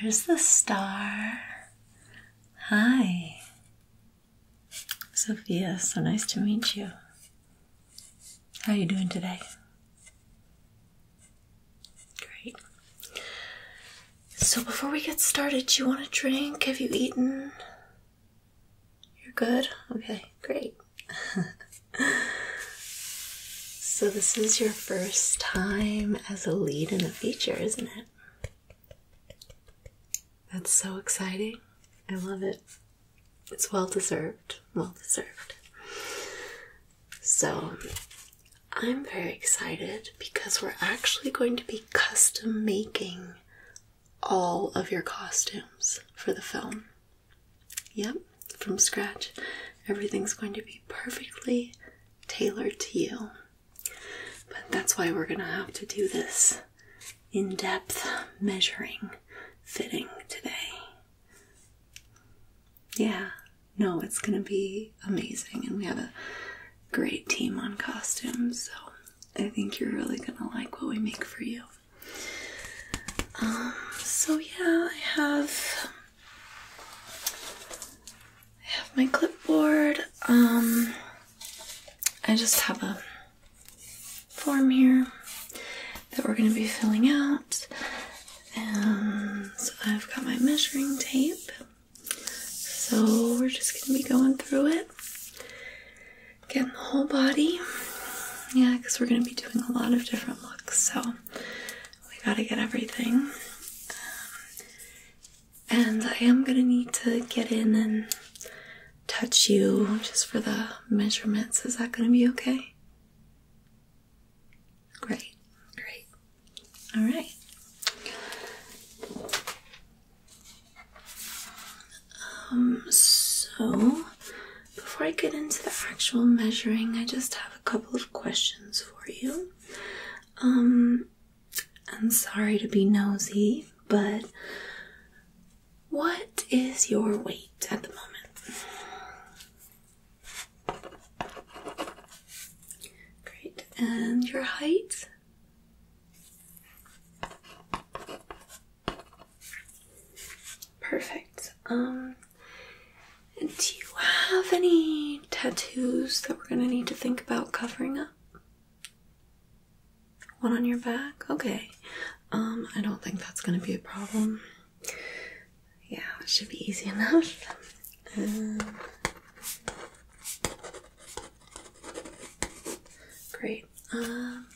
There's the star. Hi. Sophia, so nice to meet you. How are you doing today? Great. So before we get started, you want a drink? Have you eaten? You're good? Okay, great so, this is your first time as a lead in a feature, isn't it? That's so exciting. I love it. It's well deserved. Well deserved. So, I'm very excited because we're actually going to be custom making all of your costumes for the film. Yep, from scratch. Everything's going to be perfectly tailored to you. But that's why we're going to have to do this in depth measuring fitting today. Yeah, no, it's going to be amazing. And we have a great team on costumes, so I think you're really going to like what we make for you. Um, so yeah, I have I have my clipboard. Um, I just have a form here that we're going to be filling out, and I've got my measuring tape. So we're just going to be going through it. Getting the whole body. Yeah, because we're going to be doing a lot of different looks, so we got to get everything. Um, and I am going to need to get in and touch you just for the measurements. Is that going to be okay? Great, great. All right. Um, so before I get into the actual measuring, I just have a couple of questions for you. Um, I'm sorry to be nosy, but what is your weight at the moment? Great. And your height? Perfect. Um, do you have any tattoos that we're gonna need to think about covering up? One on your back? Okay. Um, I don't think that's gonna be a problem. Yeah, it should be easy enough. Um, great. Um,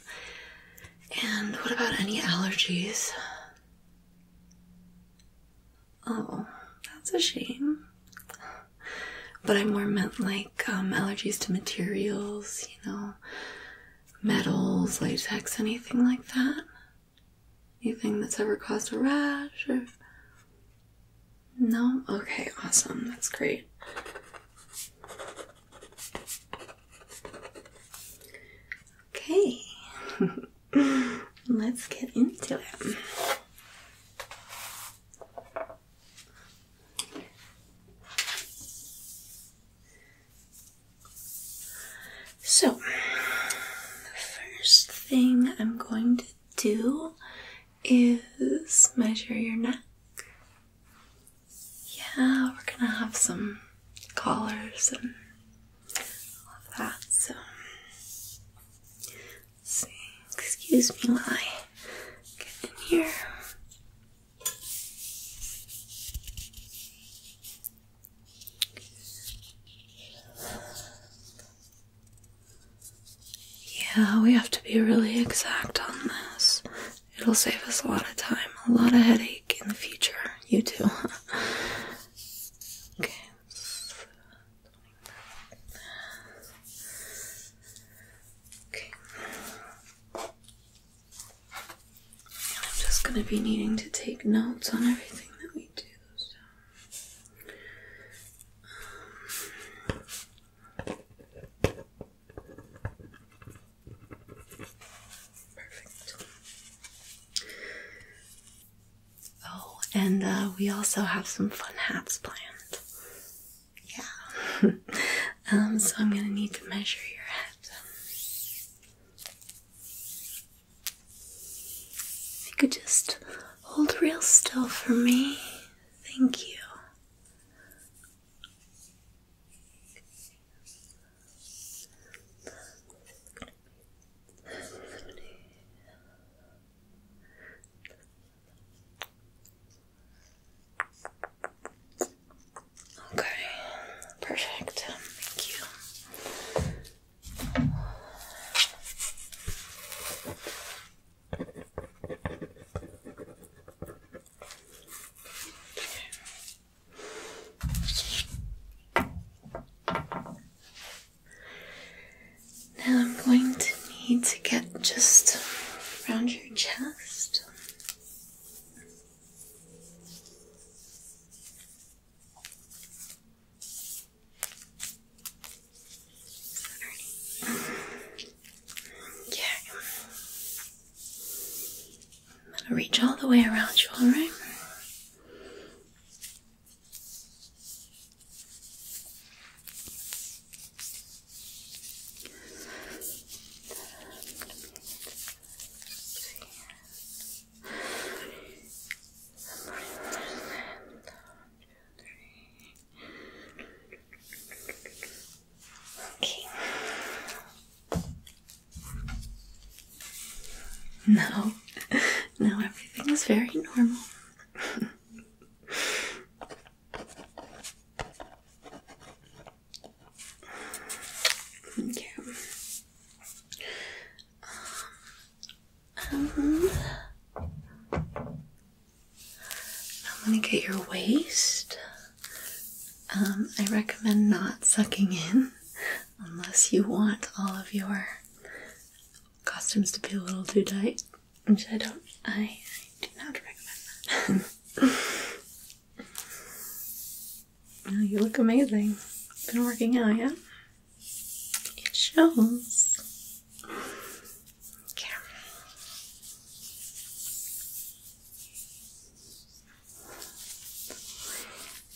and what about any allergies? Oh, that's a shame. But I more meant like um, allergies to materials, you know, metals, latex, anything like that. Anything that's ever caused a rash No? Okay, awesome. That's great. Okay, let's get into it. So, the first thing I'm going to do is measure your neck. Yeah, we're gonna have some collars and all of that, so see. Excuse me while I get in here. Yeah, we have to be really exact on this. It'll save us a lot of time, a lot of headache in the future. You too. okay. Okay. I'm just gonna be needing to take notes on everything that we do. Um, Perfect. Oh, and uh, we also have some fun hats planned. Yeah. um, so I'm gonna need to measure your head. If you could just hold real still for me. Thank you. Okay, perfect. Thank you. Now I'm going to need to get just around your chest. Okay. I'm gonna reach all the way around you, alright? Okay. No, no, everything is very normal. okay. Um, um I'm going to get your waist. Um, I recommend not sucking in unless you want all of your costumes to be a little too tight, which I don't, I, do not recommend that. you look amazing. Been working out, yeah? It shows. Okay.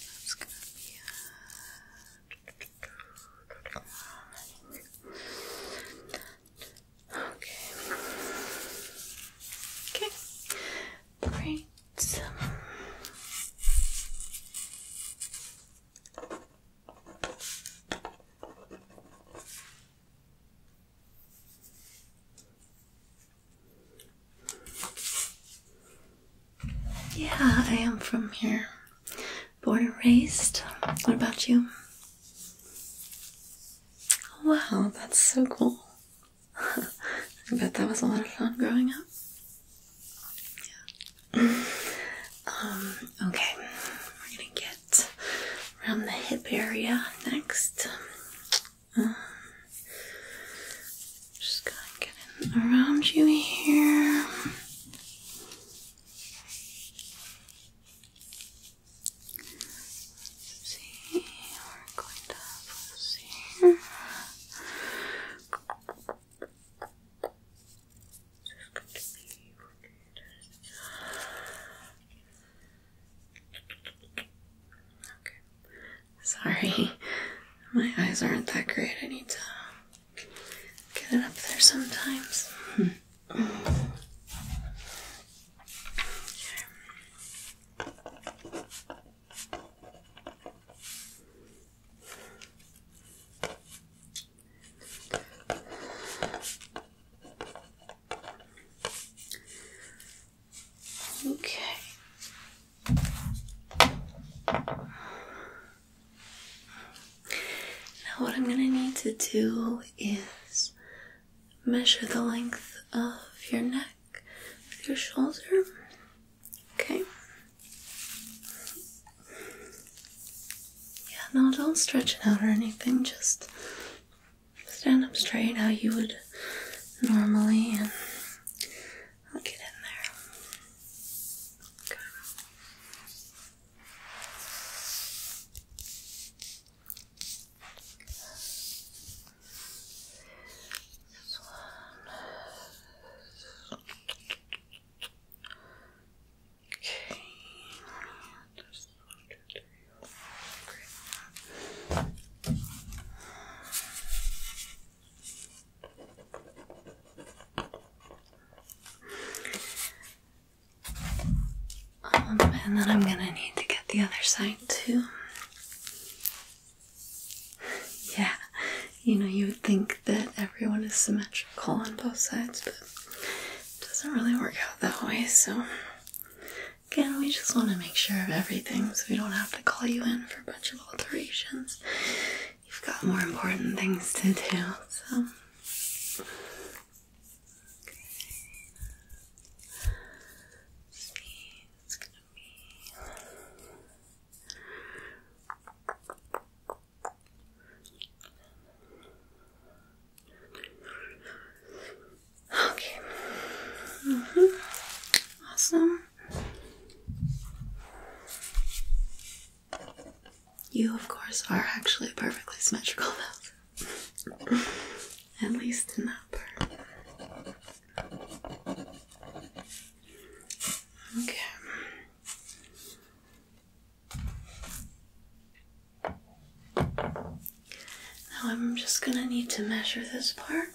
That's gonna Okay. Okay. Great. Yeah, I am from here. Born and raised. What about you? Oh, wow, that's so cool. I bet that was a lot of fun growing up. Yeah. Um, okay, we're gonna get around the hip area next. Um, just gonna get around you here. see, we're going to focus Just going to be working Okay. Sorry. My eyes aren't that great. I need to get it up there sometimes. Okay. Now, what I'm going to need to do is measure the length of your neck with your shoulder. Okay. Yeah, no, don't stretch it out or anything, just stand up straight how you would normally and I'll get in there. Okay, um, and then I'm gonna need to get the other side too. Yeah, you know, you would think that everyone is symmetrical on both sides, but doesn't really work out that way, so again, we just want to make sure of everything so we don't have to call you in for a bunch of alterations. You've got more important things to do, so. Okay. Mm -hmm. Awesome. You, of course, are actually perfectly symmetrical though. At least in that part. Okay. Now I'm just going to need to measure this part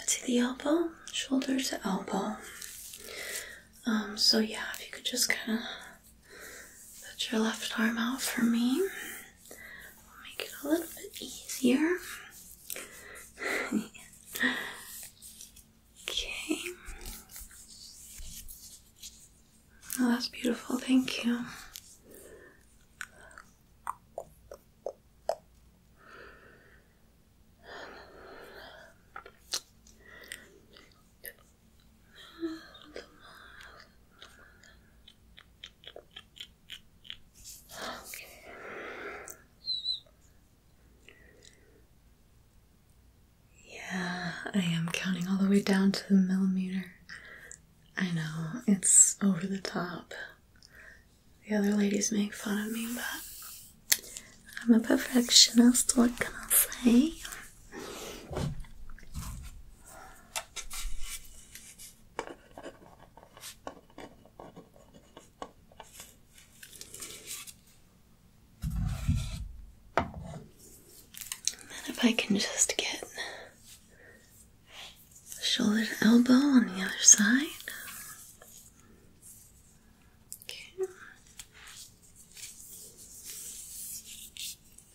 up to the elbow, shoulder to elbow. Um, so yeah, if you could just kind of put your left arm out for me, make it a little bit easier. okay. Oh, that's beautiful. Thank you. Yeah, I am counting all the way down to the millimeter. I know, it's over the top. The other ladies make fun of me, but I'm a perfectionist, what can I say? And if I can just get shoulder to elbow on the other side.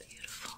Beautiful.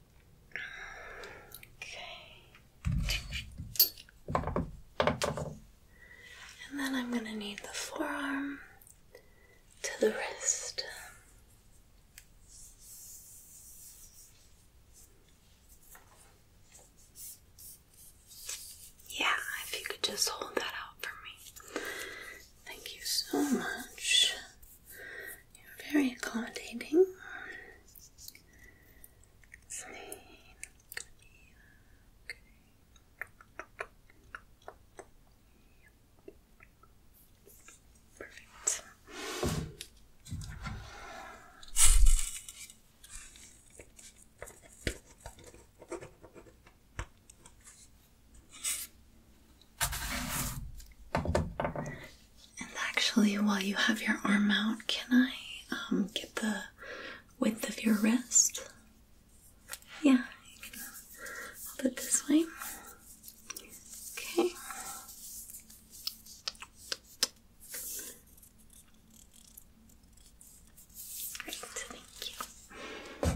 Okay. And then I'm going to need the forearm to the wrist. Yeah, if you could just hold that out for me. Thank you so much. You're very accommodating. Slain. Yeah, okay. Perfect. And actually, while you have your arm out, can I um, get the width of your wrist? Yeah, you hold it this way. Okay. Great, thank you.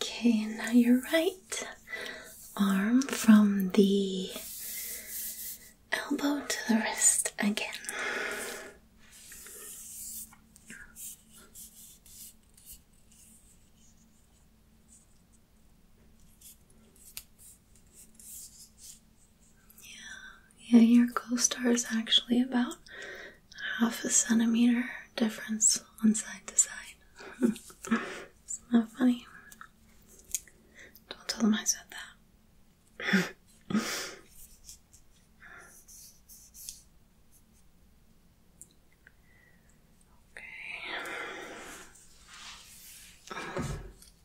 Okay, and now your right arm from the elbow to the wrist again. Yeah, yeah, your co-star is actually about half a centimeter difference on side to side. it's not funny. Don't tell them I said that. okay. And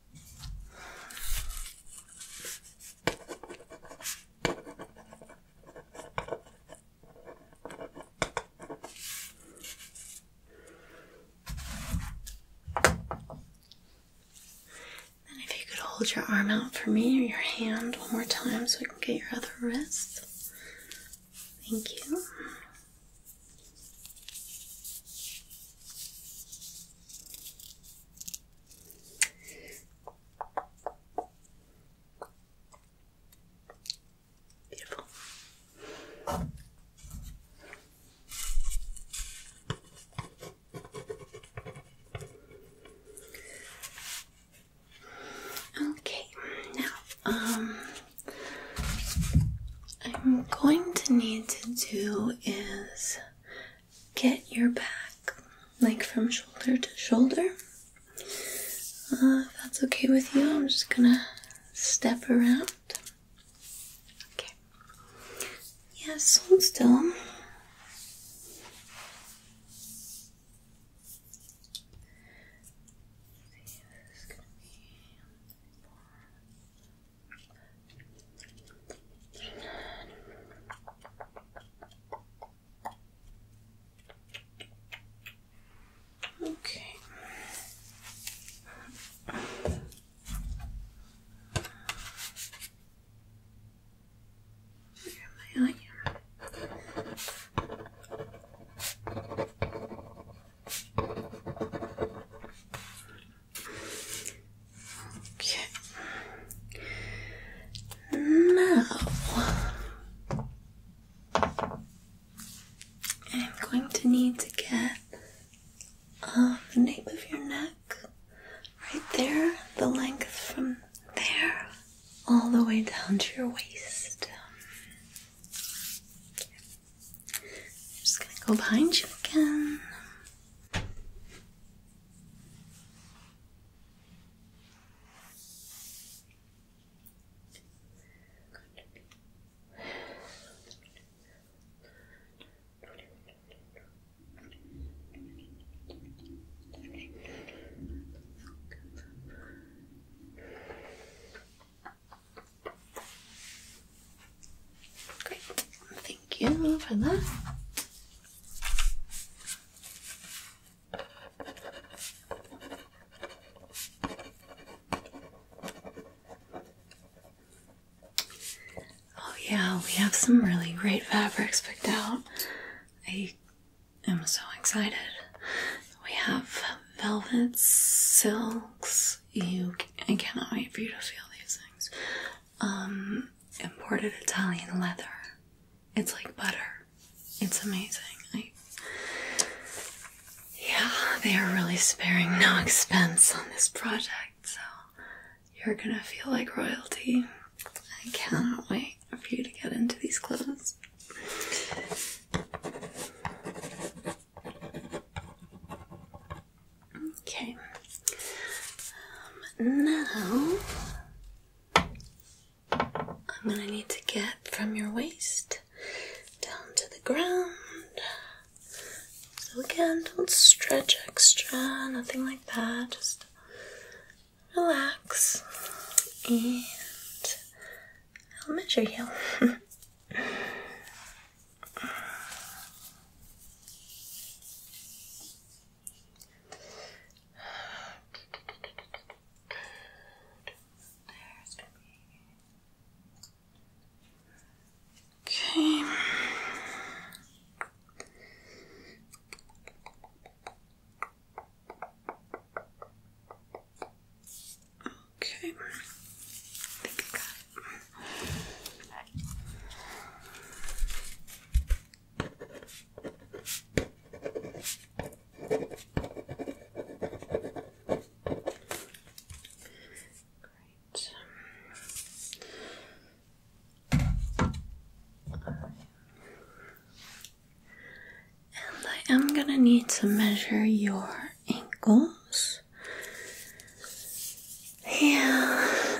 if you could hold your arm out for me or your hand one more time so I can get your other wrist. Thank you. Beautiful. Okay, now, um, I'm going to need to do is get your back like from shoulder to shoulder. Uh, if that's okay with you, I'm just gonna step around. Okay. Yes, yeah, hold still. let Okay. Where am I? Okay. Now I'm going to need to get um, the nape of your neck right there, the length from there all the way down to your waist. I'm just gonna go behind you again. Great, thank you for that. Oh, yeah, we have some really great fabrics picked out. I am so excited. We have velvets, silks things. You, I cannot wait for you to feel these things. Um, imported Italian leather. It's like butter. It's amazing. yeah, they are really sparing no expense on this project, so you're gonna feel like royalty. I cannot wait for you to get into these clothes. Okay. Um, now I'm going to need to get from your waist down to the ground. So, again, don't stretch extra, nothing like that. Just relax and I'll measure you. There's gonna be Okay. Okay, Great. I am going to need to measure your ankles. Yeah,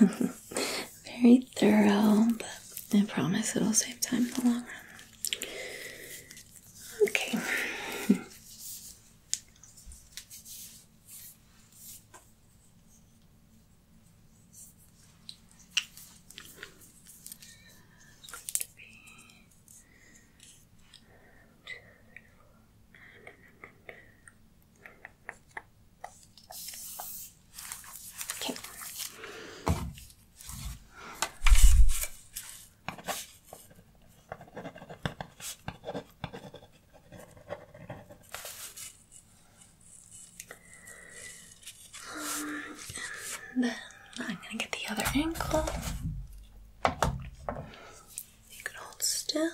very thorough, but I promise it'll save time in the long run. Okay. Okay. then I'm going to get the other ankle. You can hold still.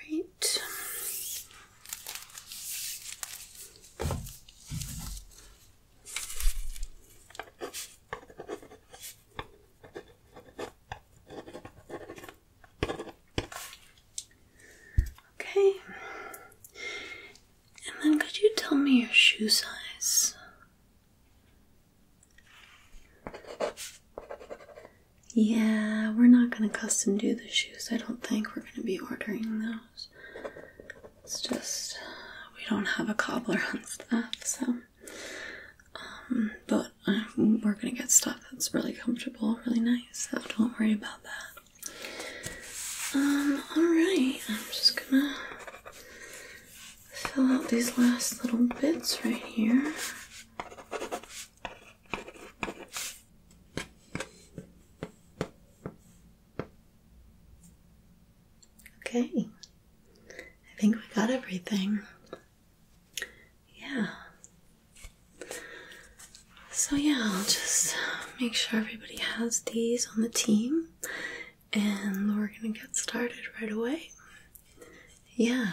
Right. Okay. And then could you tell me your shoe size? Yeah, we're not going to custom do the shoes, I don't think. We're going to be ordering those. It's just we don't have a cobbler on staff, so. Um, but um, we're gonna get stuff that's really comfortable, really nice, so don't worry about that. Um, alright, I'm just gonna fill out these last little bits right here. Okay, I think we got everything. Yeah. So, yeah, just make sure everybody has these on the team and we're gonna get started right away. Yeah.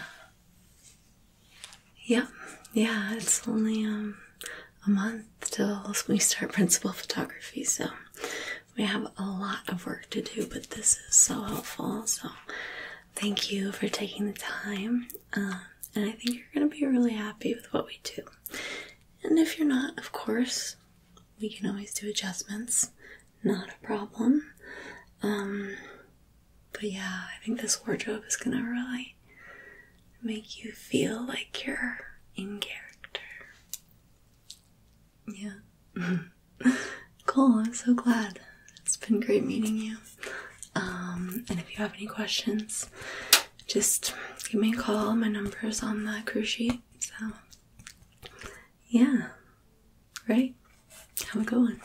Yep. Yeah, it's only um, a month till we start principal photography, so we have a lot of work to do, but this is so helpful. So thank you for taking the time. Um, and I think you're gonna be really happy with what we do. And if you're not, of course, we can always do adjustments. Not a problem. Um, but yeah, I think this wardrobe is gonna really make you feel like you're in character. Yeah. cool, I'm so glad. It's been great meeting you. Um, and if you have any questions, just give me a call. My number is on the crew sheet. So, yeah. Right? Have a good one.